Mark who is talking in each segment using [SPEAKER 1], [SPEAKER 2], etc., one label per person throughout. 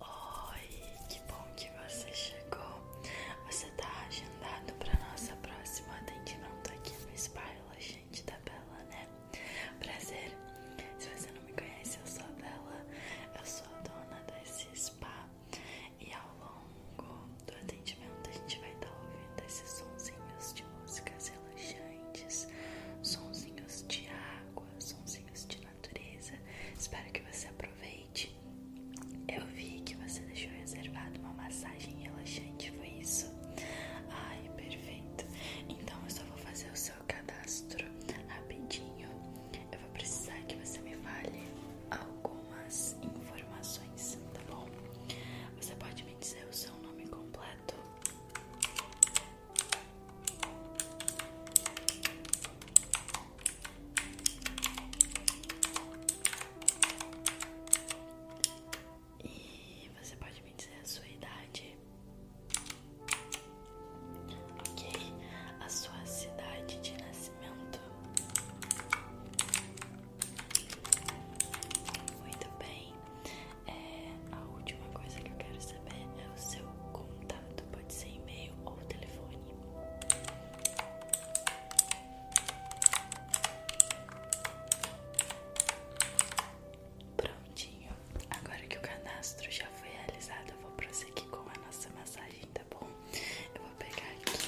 [SPEAKER 1] Oi, que bom que você chegou. Você está agendado para nossa próximo atendimento aqui no Spa Relaxante da Bela, né? Prazer. Se você não me conhece, eu sou a Bela, eu sou a dona desse spa e ao longo do atendimento a gente vai estar tá ouvindo esses sonzinhos de músicas relaxantes, sonzinhos de água, sonzinhos de Espero que você aproveite. Eu vi que você deixou reservado uma massagem relaxante, foi isso? Ai, perfeito. Então eu só vou fazer o seu cadastro rapidinho. Eu vou precisar que você me fale algumas informações, tá bom? Você pode me dizer o seu nome completo? E você pode me dizer a sua idade? Ok, a sua cidade de nascimento? Muito bem. É, a última coisa que eu quero saber é o seu contato pode ser e-mail ou telefone. Prontinho. Agora que o cadastro já foi realizado, eu vou prosseguir com a nossa massagem, tá bom? Eu vou pegar aqui.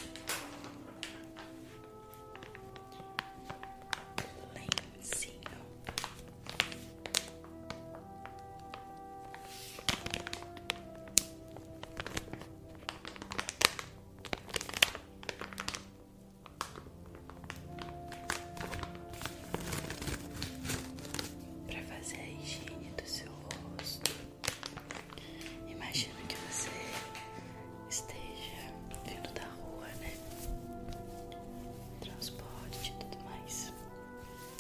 [SPEAKER 1] Lencinho para fazer a higiene do seu rosto, imagino que você esteja vindo da rua, né? Transporte e tudo mais.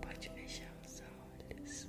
[SPEAKER 1] Pode fechar os olhos.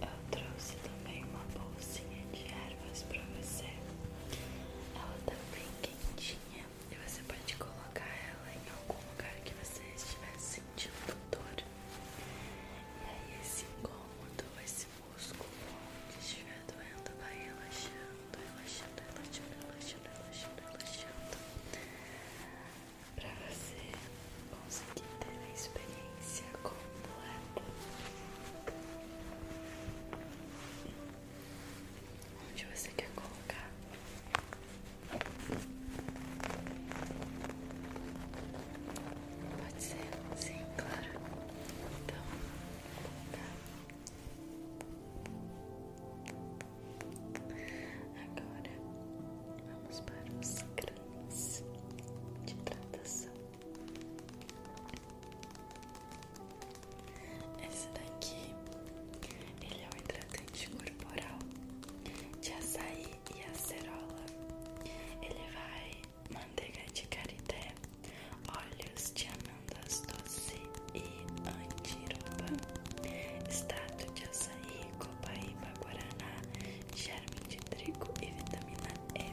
[SPEAKER 1] Eu trouxe também uma bolsinha de ervas pra você. Ela tá bem quentinha e você pode colocar ela em algum lugar que você estiver sentindo dor. E aí esse incômodo, esse músculo que estiver doendo vai relaxando relaxando, relaxando, relaxando, relaxando, relaxando, relaxando para você conseguir ter a experiência completa onde você quer colocar. Pode ser? Sim, claro. Então, vou colocar Agora vamos para os cremes de hidratação. Esse daqui ele é um hidratante corporal de açaí e acerola. Ele vai manteiga de carité Olhos de amandas doce e antiroba, extrato de açaí, copaíba, guaraná, germe de trigo e vitamina E.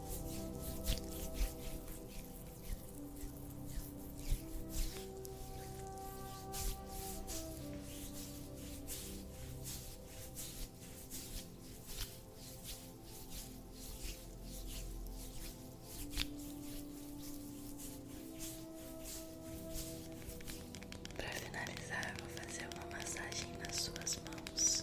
[SPEAKER 1] Para finalizar, vou fazer uma massagem nas suas mãos.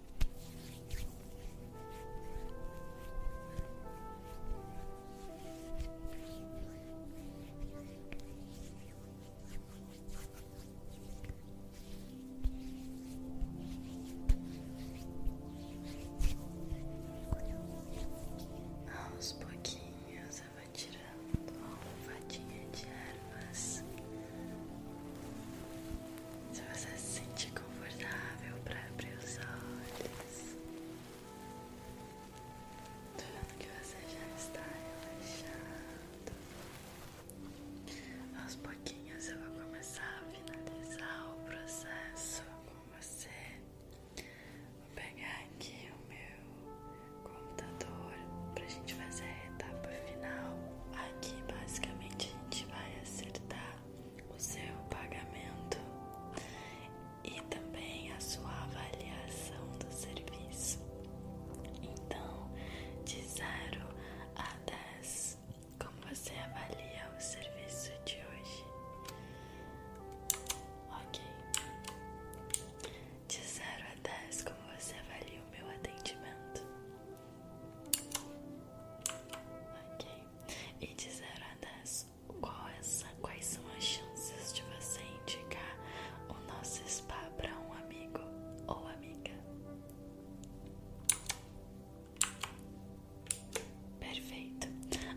[SPEAKER 1] Aos pouquinhos ela vai tirando a fadinha de ervas. Se você se sentir confortável para abrir os olhos, tô vendo que você já está relaxado. Aos pouquinhos eu vou começar a finalizar o processo com você. Vou pegar aqui o meu computador pra gente fazer a etapa final aqui basicamente a gente vai acertar o seu pagamento e também a sua avaliação do serviço. Então, de 0 a 10, como você avalia o serviço de hoje? Ok. De 0 a 10, como você avalia o meu atendimento? Ok. E de 0 a 10, quais são as chances de você indicar o nosso spa para um amigo ou amiga? Perfeito.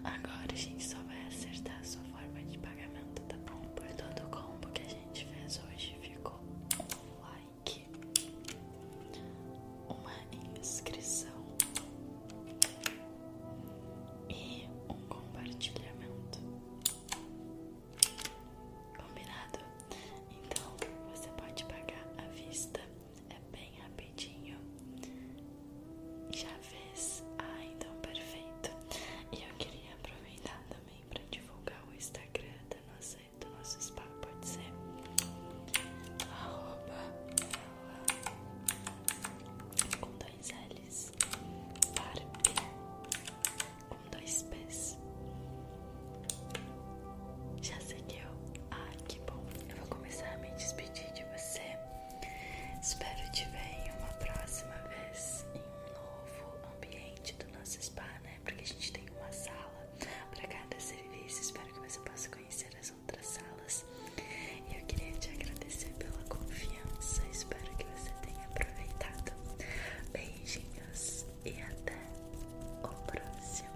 [SPEAKER 1] Agora a gente só vai acertar a sua forma de pagamento, tá bom? Por todo o combo que a gente fez hoje ficou. Uai link, uma inscrição e um compartilhamento. Combinado? Então você pode pagar à vista, é bem rapidinho. Já fez? Ah, então perfeito. E eu queria aproveitar também para divulgar o Instagram da nossa do então, nosso spa, pode ser arroba ela, com dois L's Barbie com dois P's já seguiu? Ah, que bom! Eu vou começar a me despedir de você. Espero te ver em uma próxima vez em um novo ambiente do nosso spa, né? Porque a gente tem uma sala para cada serviço. Espero que você possa conhecer as outras salas. E eu queria te agradecer pela confiança. Espero que você tenha aproveitado. Beijinhos e até o próximo.